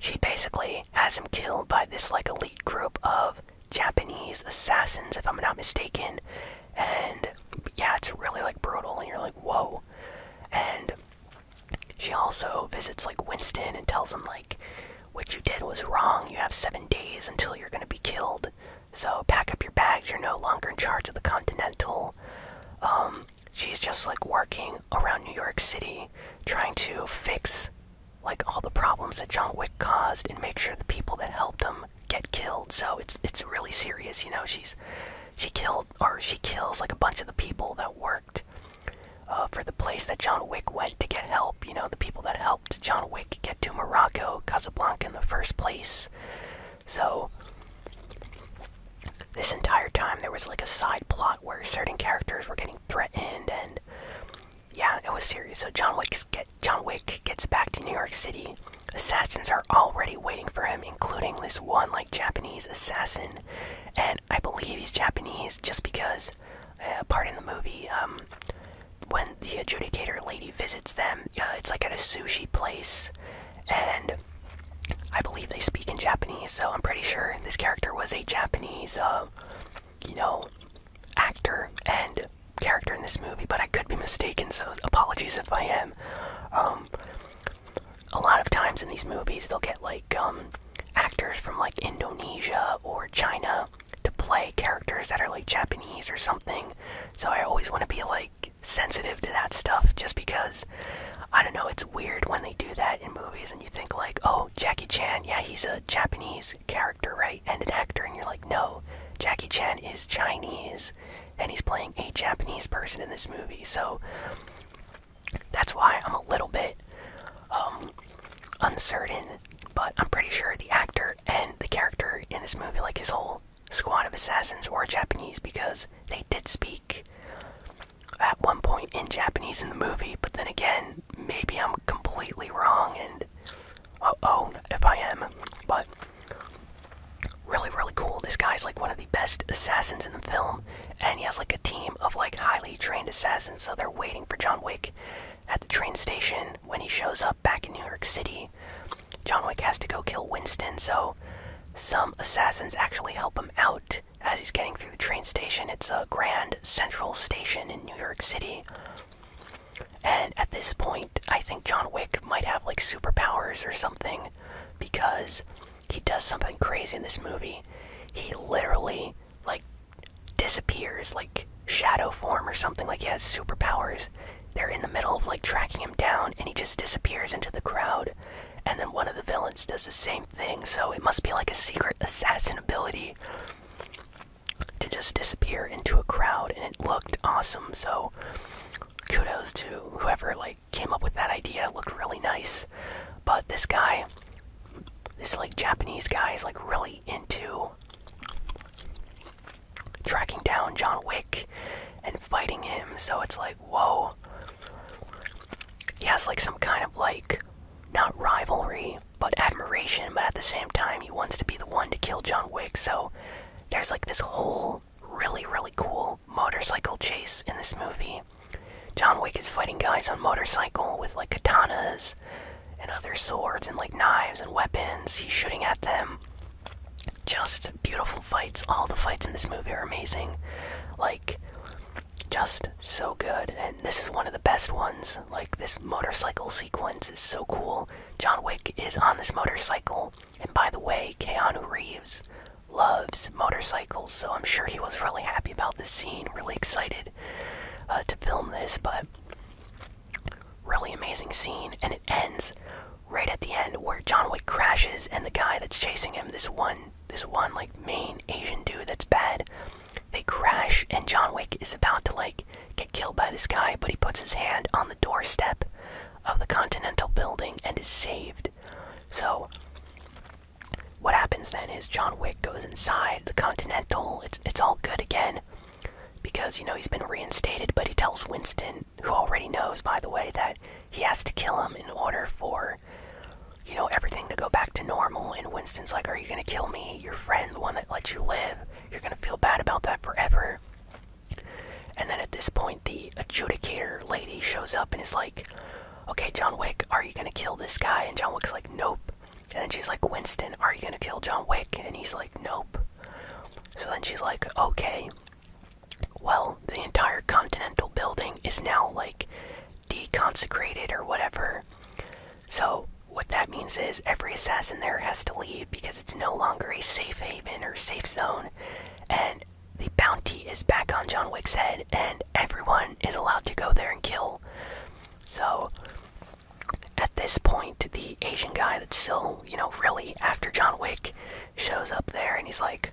she basically has him killed by this, like, elite group of Japanese assassins, if I'm not mistaken. And yeah, it's really like brutal, and you're like, whoa. And she also visits like Winston and tells him like what you did was wrong. You have 7 days until you're going to be killed. So pack up your bags. You're no longer in charge of the Continental. Um she's just like working around New York City trying to fix like all the problems that John Wick caused and make sure the people that helped him get killed. So it's it's really serious, you know. She's she killed or she kills like a bunch of the people that worked uh, for the place that John Wick went to get help. You know, the people that helped John Wick get to Morocco, Casablanca in the first place. So, this entire time there was like a side plot where certain characters were getting threatened, and yeah, it was serious. So John Wick get John Wick gets back to New York City. Assassins are already waiting for him including this one like Japanese assassin, and I believe he's Japanese just because a uh, part in the movie um, when the adjudicator lady visits them, uh, it's like at a sushi place, and I believe they speak in Japanese, so I'm pretty sure this character was a Japanese, uh, you know, actor and character in this movie, but I could be mistaken, so apologies if I am. Um, a lot of times in these movies they'll get like um, actors from like Indonesia or China to play characters that are like Japanese or something. So I always want to be like sensitive to that stuff just because I don't know, it's weird when they do that in movies and you think like, "Oh, Jackie Chan, yeah, he's a Japanese character, right? And an actor." And you're like, "No, Jackie Chan is Chinese." And he's playing a Japanese person in this movie. So that's why I'm a little bit um, uncertain, but I'm pretty sure the actor and the character in this movie, like his whole squad of assassins, were Japanese because they did speak at one point in Japanese in the movie, but then again, maybe I'm completely wrong and uh oh if I am, but really really cool this guy's like one of the best assassins in the film and he has like a team of like highly trained assassins so they're waiting for john wick at the train station when he shows up back in new york city john wick has to go kill winston so some assassins actually help him out as he's getting through the train station it's a grand central station in new york city and at this point i think john wick might have like superpowers or something because he does something crazy in this movie. He literally like disappears like shadow form or something like he has superpowers. They're in the middle of like tracking him down and he just disappears into the crowd. And then one of the villains does the same thing, so it must be like a secret assassin ability to just disappear into a crowd and it looked awesome. So kudos to whoever like came up with that idea. It looked really nice. But this guy, this like Japanese guy, is like really into tracking down John Wick and fighting him. So it's like, whoa. He has like some kind of like, not rivalry, but admiration. But at the same time, he wants to be the one to kill John Wick. So there's like this whole really, really cool motorcycle chase in this movie. John Wick is fighting guys on motorcycle with like katanas and other swords and like knives and weapons. He's shooting at them. Just beautiful fights. All the fights in this movie are amazing. Like, just so good. And this is one of the best ones. Like, this motorcycle sequence is so cool. John Wick is on this motorcycle. And by the way, Keanu Reeves loves motorcycles, so I'm sure he was really happy about this scene, really excited uh, to film this, but really amazing scene. And it ends right at the end where John Wick crashes, and the guy that's chasing him, this one, this one like main Asian dude that's bad, they crash, and John Wick is about to like get killed by this guy, but he puts his hand on the doorstep of the Continental Building and is saved. So what happens then is John Wick goes inside the Continental. It's it's all good again because you know he's been reinstated, but he tells Winston, who already knows by the way, that he has to kill him in order for you know everything to go back to normal. And Winston's like, "Are you gonna kill me? Your friend, the one that lets you live. You're gonna feel bad about that forever." And then at this point, the adjudicator lady shows up and is like, okay, John Wick, are you gonna kill this guy? And John Wick's like, nope. And then she's like, Winston, are you gonna kill John Wick? And he's like, nope. So then she's like, okay. Well, the entire Continental building is now like deconsecrated or whatever. So, what that means is every assassin there has to leave because it's no longer a safe haven or safe zone, and the bounty is back on John Wick's head, and everyone is allowed to go there and kill. So, at this point, the Asian guy that's still, you know, really after John Wick shows up there and he's like,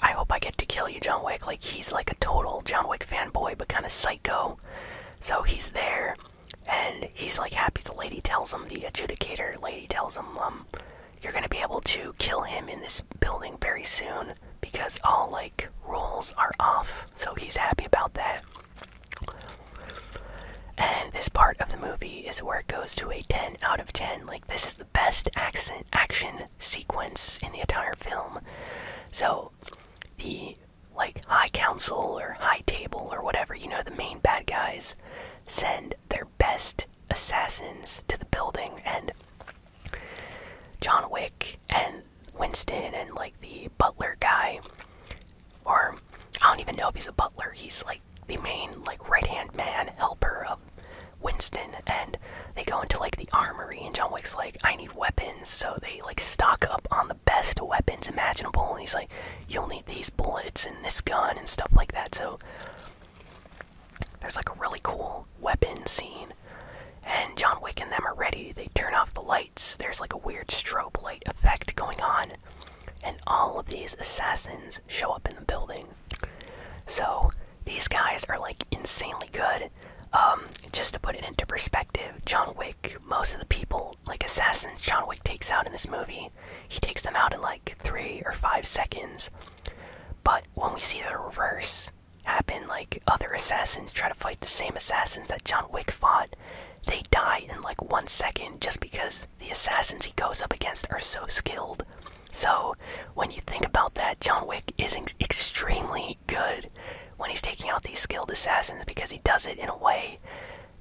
I hope I get to kill you, John Wick. Like, he's like a total John Wick fanboy, but kind of psycho. So, he's there, and he's like happy. The lady tells him, the adjudicator lady tells him, um, you're gonna be able to kill him in this building very soon because all like rules are off, so he's happy about that. And this part of the movie is where it goes to a 10 out of 10. Like, this is the best action action sequence in the entire film. So, the like High Council or High Table or whatever, you know, the main bad guys send their best assassins to the building and John Wick and Winston and like the butler guy or I don't even know if he's a butler he's like the main like right-hand man helper of Winston and they go into like the armory and John Wick's like I need weapons so they like stock up on the best weapons imaginable and he's like you'll need these bullets and this gun and stuff like that so there's like a really cool weapon scene, and John Wick and them are ready. They turn off the lights. There's like a weird strobe light effect going on, and all of these assassins show up in the building. So these guys are like insanely good. Um, just to put it into perspective, John Wick, most of the people, like assassins, John Wick takes out in this movie, he takes them out in like three or five seconds. But when we see the reverse happen, like other assassins try to fight the same assassins that John Wick fought, they die in like one second just because the assassins he goes up against are so skilled. So, when you think about that, John Wick is extremely good when he's taking out these skilled assassins because he does it in a way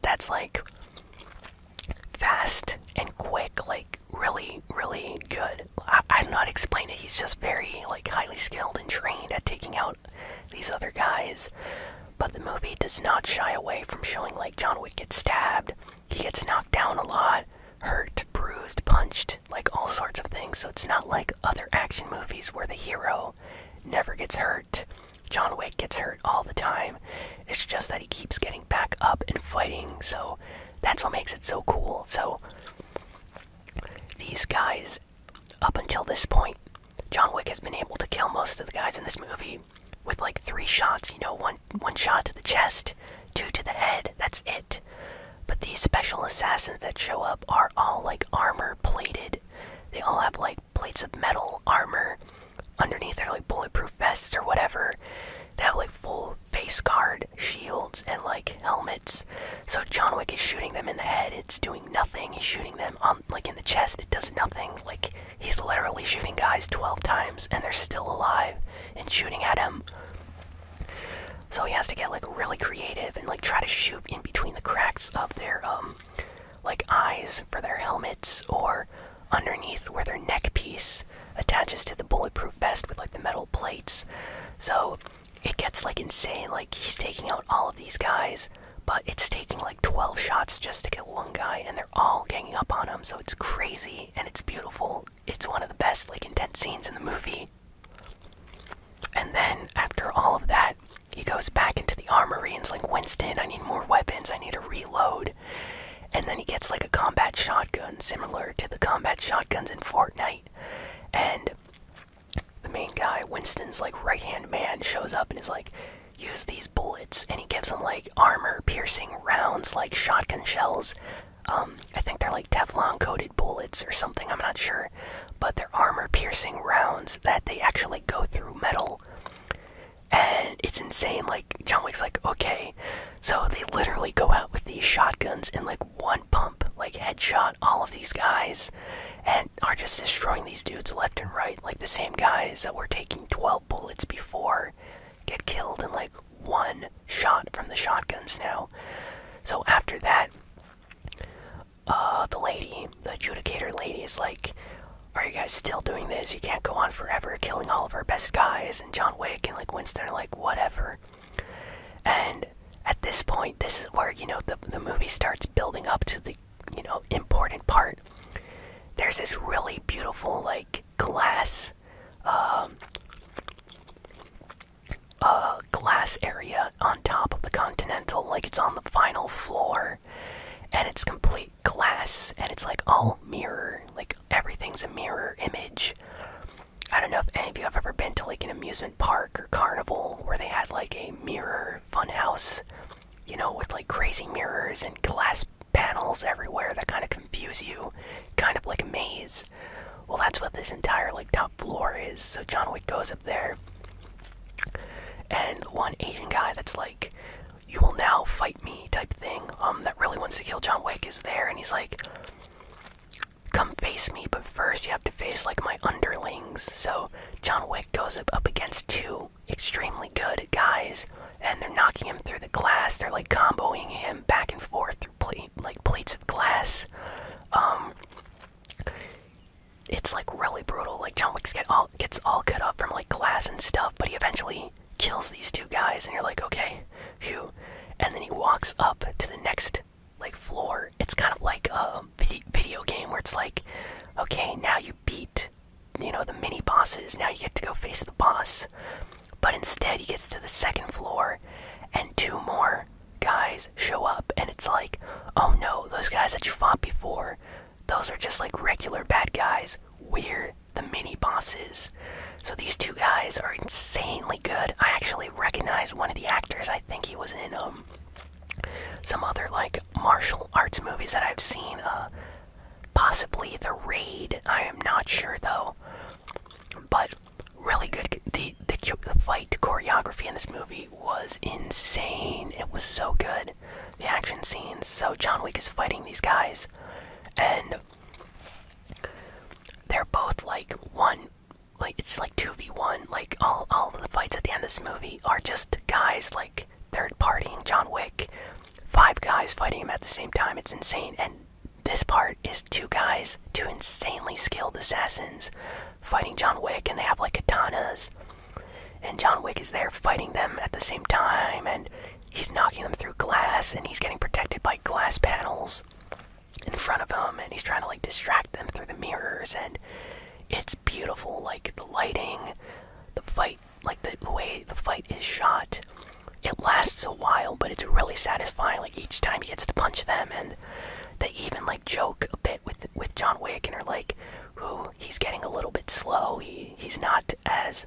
that's like fast and quick, like really, really good. I, am not explaining it. He's just very like highly skilled and trained at taking out these other guys. But the movie does not shy away from showing like John Wick gets stabbed, he gets knocked down a lot, hurt, bruised, punched, like all sorts of things. So it's not like other action movies where the hero never gets hurt. John Wick gets hurt all the time. It's just that he keeps getting back up and fighting. So that's what makes it so cool. So these guys, up until this point, John Wick has been able to kill most of the guys in this movie with like three shots. You know, one one shot to the chest, two to the head. That's it. But these special assassins that show up are all like armor plated. They all have like plates of metal armor underneath their like bulletproof vests or whatever. They have like full face guard, shields, and like helmets. So John Wick is shooting them in the head, it's doing nothing. He's shooting them on like in the chest, it does nothing. Like he's literally shooting guys 12 times and they're still alive and shooting at him. So he has to get like really creative and like try to shoot in between the cracks of their um like eyes for their helmets or underneath where their neck piece attaches to the bulletproof vest with like the metal plates. So it gets like insane. Like he's taking out all of these guys, but it's taking like 12 shots just to get one guy, and they're all ganging up on him. So it's crazy and it's beautiful. It's one of the best, like, intense scenes in the movie. And then after all of that, he goes back into the armory and's like, Winston, I need more weapons, I need to reload. And then he gets like a combat shotgun, similar to the combat shotguns in Fortnite. And the main guy, Winston's like right hand man, shows up and is like, use these bullets. And he gives them like armor piercing rounds, like shotgun shells. Um, I think they're like Teflon coated bullets or something, I'm not sure. But they're armor piercing rounds that they actually go through metal. And it's insane. Like, John Wick's like, okay. So they literally go out with these shotguns, in like one pump, like headshot all of these guys, and are just destroying these dudes left and right. Like the same guys that were taking 12 bullets before get killed in like one shot from the shotguns now. So after that, uh, the lady, the adjudicator lady, is like, "Are you guys still doing this? You can't go on forever killing all of our best guys." And John Wick and like Winston are like, "Whatever." And at this point, this is where you know the the movie starts building up to the you know important part. There's this really beautiful like glass, um, uh, glass area on top of the Continental, like it's on the final floor, and it's complete glass, and it's like all mirror, like everything's a mirror image. I don't know if any of you have ever been to like an amusement park or carnival where they had like a mirror funhouse, you know, with like crazy mirrors and glass panels everywhere that kind of confuse you, kind of like a maze. Well, that's what this entire like top floor is. So John Wick goes up there, and one Asian guy that's like, "You will now fight me" type thing, um, that really wants to kill John Wick is there, and he's like, come face me, but first you have to face like my underlings. So John Wick goes up, up against two extremely good guys, and they're knocking him through the glass. They're like comboing him back and forth through like plates of glass. Um, it's like really brutal. Like John Wick get all gets all cut up from like glass and stuff, but he eventually kills these two guys, and you're like, okay, phew. And then he walks up to the next like floor. It's kind of like a video game where it's like, okay, now you beat, you know, the mini bosses. Now you get to go face the boss. But instead, he gets to the second floor, and two more guys show up, and it's like, oh no, those guys that you fought before, those are just like regular bad guys. We're the mini bosses. So these two guys are insanely good. I actually recognize one of the actors. I think he was in um some other like martial arts movies that I've seen. Uh, possibly The Raid. I am not sure though. But really good. The, the the fight choreography in this movie was insane. It was so good. The action scenes. So John Wick is fighting these guys, and they're both like one like it's like 2v1 like all all of the fights at the end of this movie are just guys like third partying john wick five guys fighting him at the same time it's insane and this part is two guys two insanely skilled assassins fighting john wick and they have like katanas and john wick is there fighting them at the same time and he's knocking them through glass and he's getting protected by glass panels in front of him and he's trying to like distract them through the mirrors and it's beautiful like the lighting the fight like the, way the fight is shot it lasts a while but it's really satisfying like each time he gets to punch them and they even like joke a bit with with John Wick and are like who he's getting a little bit slow he he's not as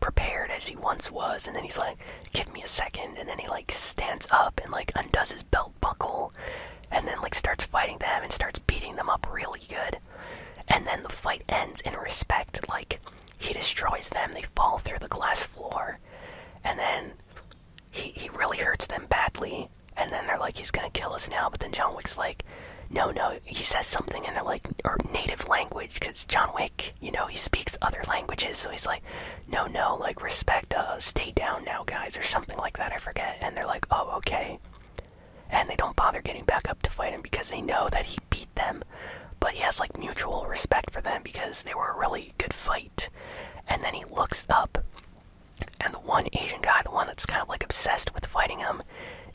prepared as he once was and then he's like give me a second and then he like stands up and like undoes his belt buckle and then like starts fighting them and starts beating them up really good and then the fight ends in respect like he destroys them they fall through the glass floor and then he he really hurts them badly and then they're like he's gonna kill us now but then john wick's like no no he says something in their like or native language because john wick you know he speaks other languages so he's like no no like respect uh stay down now guys or something like that i forget and they're like oh okay and they don't bother getting back up to fight him because they know that he beat them but he has like mutual respect for them because they were a really good fight and then he looks up and the one asian guy the one that's kind of like obsessed with fighting him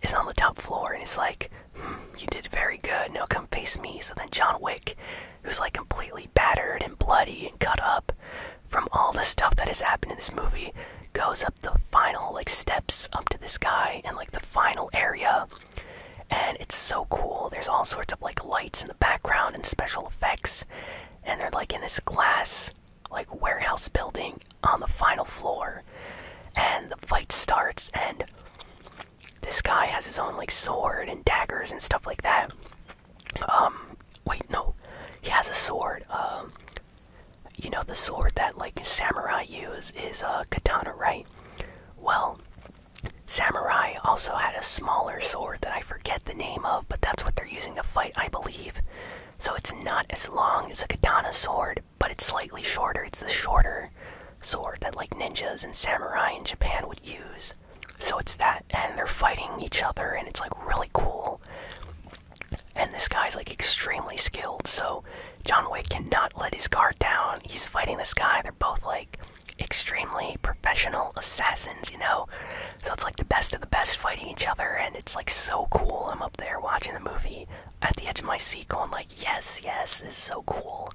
is on the top floor and he's like hmm, you did very good now come face me so then john wick who's like completely battered and bloody and cut up from all the stuff that has happened in this movie, goes up the final like steps up to this guy and like the final area. And it's so cool. There's all sorts of like lights in the background and special effects. And they're like in this glass like warehouse building on the final floor. And the fight starts and this guy has his own like sword and daggers and stuff like that. Um, wait, no, he has a sword. Um, you know the sword that like samurai use is a uh, katana, right? Well, samurai also had a smaller sword that I forget the name of, but that's what they're using to fight, I believe. So it's not as long as a katana sword, but it's slightly shorter. It's the shorter sword that like ninjas and samurai in Japan would use. So it's that, and they're fighting each other, and it's like really cool. And this guy's like extremely skilled, so John Wick cannot let his guard down. He's fighting this guy, they're both like extremely professional assassins, you know? So it's like the best of the best fighting each other, and it's like so cool. I'm up there watching the movie at the edge of my seat going like, yes, yes, this is so cool.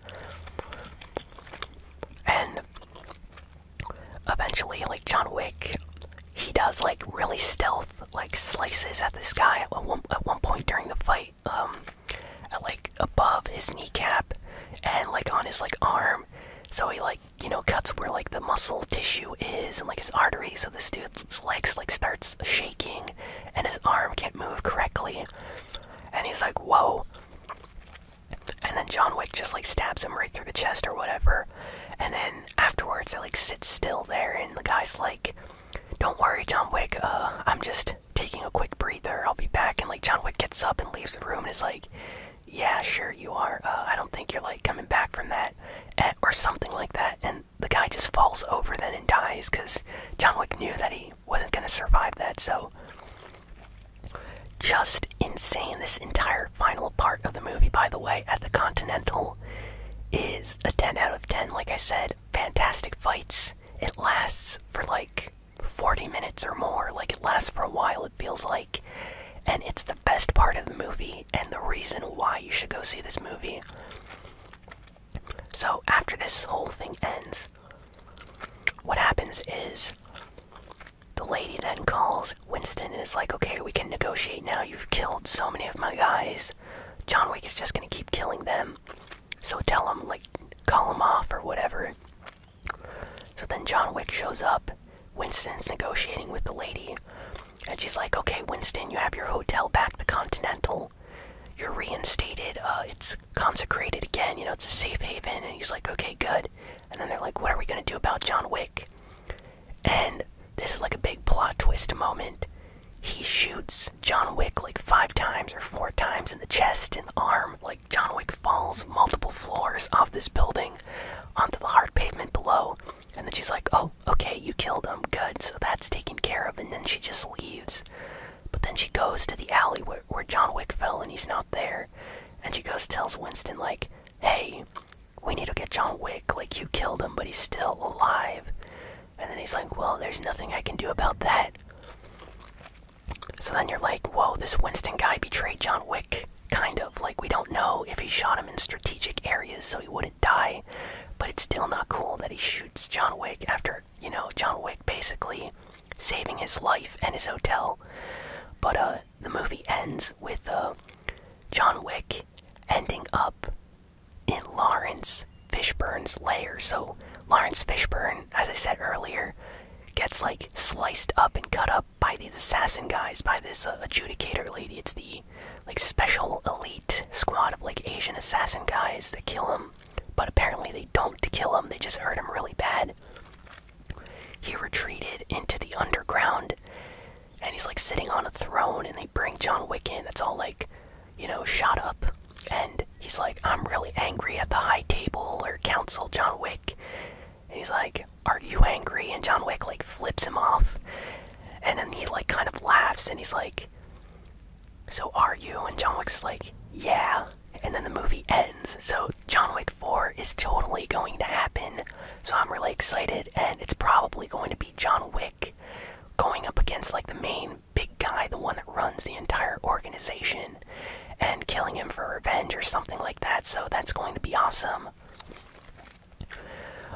And eventually, like John Wick, he does like really stealth like slices at this guy at one, point during the fight, um, like above his kneecap and like on his like arm. So he like you know cuts where like the muscle tissue is and like his artery. So this dude's legs like starts shaking, and his arm can't move correctly. And he's like, "Whoa!" and then John Wick just like stabs him right through the chest or whatever. And then afterwards, it like sits still there, and the guy's like, "Don't worry, John Wick. Uh, I'm just taking a quick breather. I'll be back." And like John Wick gets up and leaves the room, and is like, "Yeah, sure you are. Uh, I don't think you're like coming back from that, eh, or something like that." And the guy just falls over then and dies because John Wick knew that he wasn't gonna survive that. So just insane. This entire final part of the movie, by the way, at the Continental is a 10 out of 10. Like I said, fantastic fights. It lasts for like 40 minutes or more. Like it lasts for a while, it feels like. And it's the best part of the movie and the reason why you should go see this movie. So after this whole thing ends, what happens is the lady then calls Winston and is like, okay, we can negotiate now. You've killed so many of my guys. John Wick is just gonna keep killing them. So tell him, like, call him off or whatever. So then John Wick shows up. Winston's negotiating with the lady. And she's like, okay, Winston, you have your hotel back, the Continental. You're reinstated. Uh, it's consecrated again. You know, it's a safe haven. And he's like, okay, good and then they're like, what are we going to do about John Wick? And this is like a big plot twist moment. He shoots John Wick like five times or four times in the chest and the arm. Like, John Wick falls multiple floors off this building onto the hard pavement below. And then she's like, oh, okay, you killed him. Good. So that's taken care of. And then she just leaves. But then she goes to the alley where, where John Wick fell and he's not there. And she goes tells Winston like, "Hey, we need to get John Wick. Like you killed him, but he's still alive." And then he's like, "Well, there's nothing I can do about that." So then you're like, "Whoa, this Winston guy betrayed John Wick." Kind of like we don't know if he shot him in strategic areas so he wouldn't die, but it's still not cool that he shoots John Wick after, you know, John Wick basically saving his life and his hotel. But uh the movie ends with uh, John Wick ending up in Lawrence Fishburne's lair. So Lawrence Fishburne, as I said earlier, gets like sliced up and cut up by these assassin guys, by this uh, adjudicator lady. It's the like special elite squad of like Asian assassin guys that kill him. But apparently they don't kill him; they just hurt him really bad. He retreated into the underground and he's like sitting on a throne and they bring John Wick in that's all like, you know, shot up and he's like, I'm really angry at the high table or council, John Wick. And he's like, Are you angry? And John Wick like flips him off. And then he like kind of laughs and he's like So are you? And John Wick's like, Yeah and then the movie ends. So John Wick 4 is totally going to happen, so I'm really excited, and it's probably going to be John Wick going up against like the main big guy, the one that runs the entire organization, and killing him for revenge or something like that, so that's going to be awesome.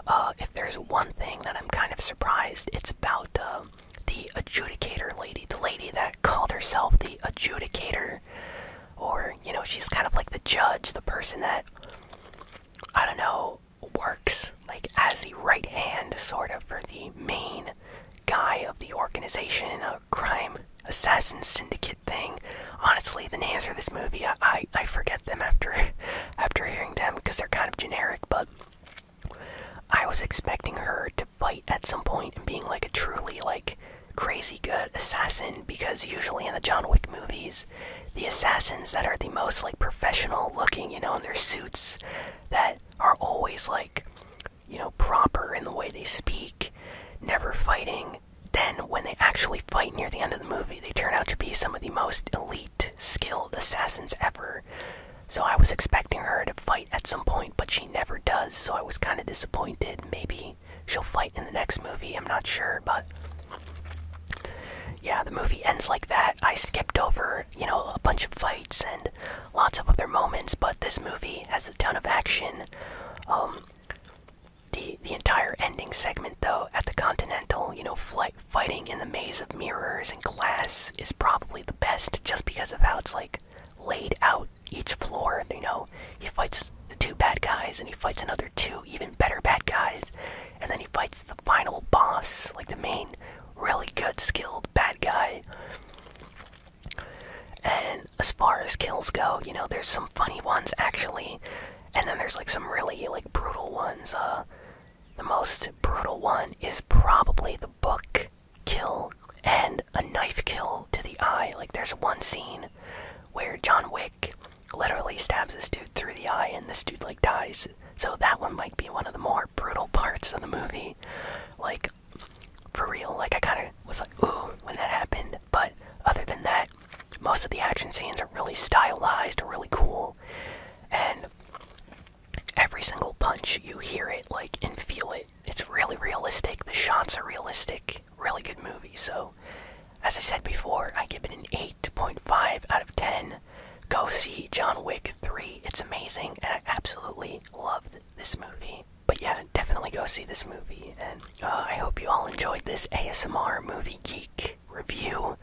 Uh, if there's one thing that I'm kind of surprised, it's about uh, the adjudicator lady, the lady that called herself the adjudicator or you know she's kind of like the judge the person that i don't know works like as the right hand sort of for the main guy of the organization a crime assassin syndicate thing honestly the names for this movie i, I forget them after <laughs> after hearing them because they're kind of generic but i was expecting her to fight at some point and being like a truly like crazy good assassin because usually in the John Wick movies, the assassins that are the most like professional looking, you know, in their suits that are always like, you know, proper in the way they speak, never fighting. Then, when they actually fight near the end of the movie, they turn out to be some of the most elite, skilled assassins ever. So, I was expecting her to fight at some point, but she never does, so I was kind of disappointed. Maybe She'll fight in the next movie, I'm not sure, but yeah, the movie ends like that. I skipped over, you know, a bunch of fights and lots of other moments, but this movie has a ton of action. Um, the the entire ending segment though at the Continental, you know, flight fighting in the maze of mirrors and glass is probably the best just because of how it's like laid out each floor. You know, he fights the two bad guys, and he fights another two even better bad guys, and then he fights the final boss, like the main really good skilled bad guy. And as far as kills go, you know, there's some funny ones actually, and then there's like some really like brutal ones. Uh, the most brutal one is probably the book kill and a knife kill to the eye. Like there's one scene where John Wick literally stabs this dude through the eye and this dude like dies. So that one might be one of the more brutal parts of the movie. Like for real, like I kinda was like, ooh, when that happened. But other than that, most of the action scenes are really stylized, or really cool. And every single punch you hear it like and feel it. It's really realistic. The shots are realistic really good movie. So, as I said before, I give it an 8.5 out of 10. Go see John Wick 3. It's amazing, and I absolutely loved this movie. But yeah, definitely go see this movie, and uh, I hope you all enjoyed this ASMR Movie Geek review.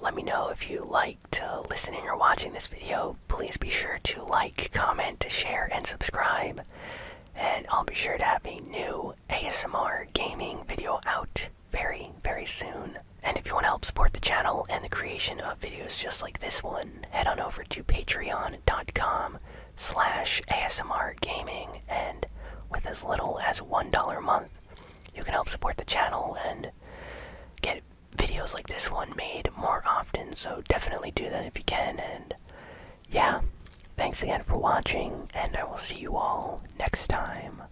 Let me know if you liked uh, listening or watching this video. Please be sure to like, comment, share, and subscribe. And I'll be sure to have a new ASMR gaming video out very, very soon. And if you want to help support the channel and the creation of videos just like this one, head on over to patreon.com slash ASMR gaming and with as little as $1 a month, you can help support the channel and get videos like this one made more often, so definitely do that if you can and yeah, thanks again for watching, and I will see you all next time.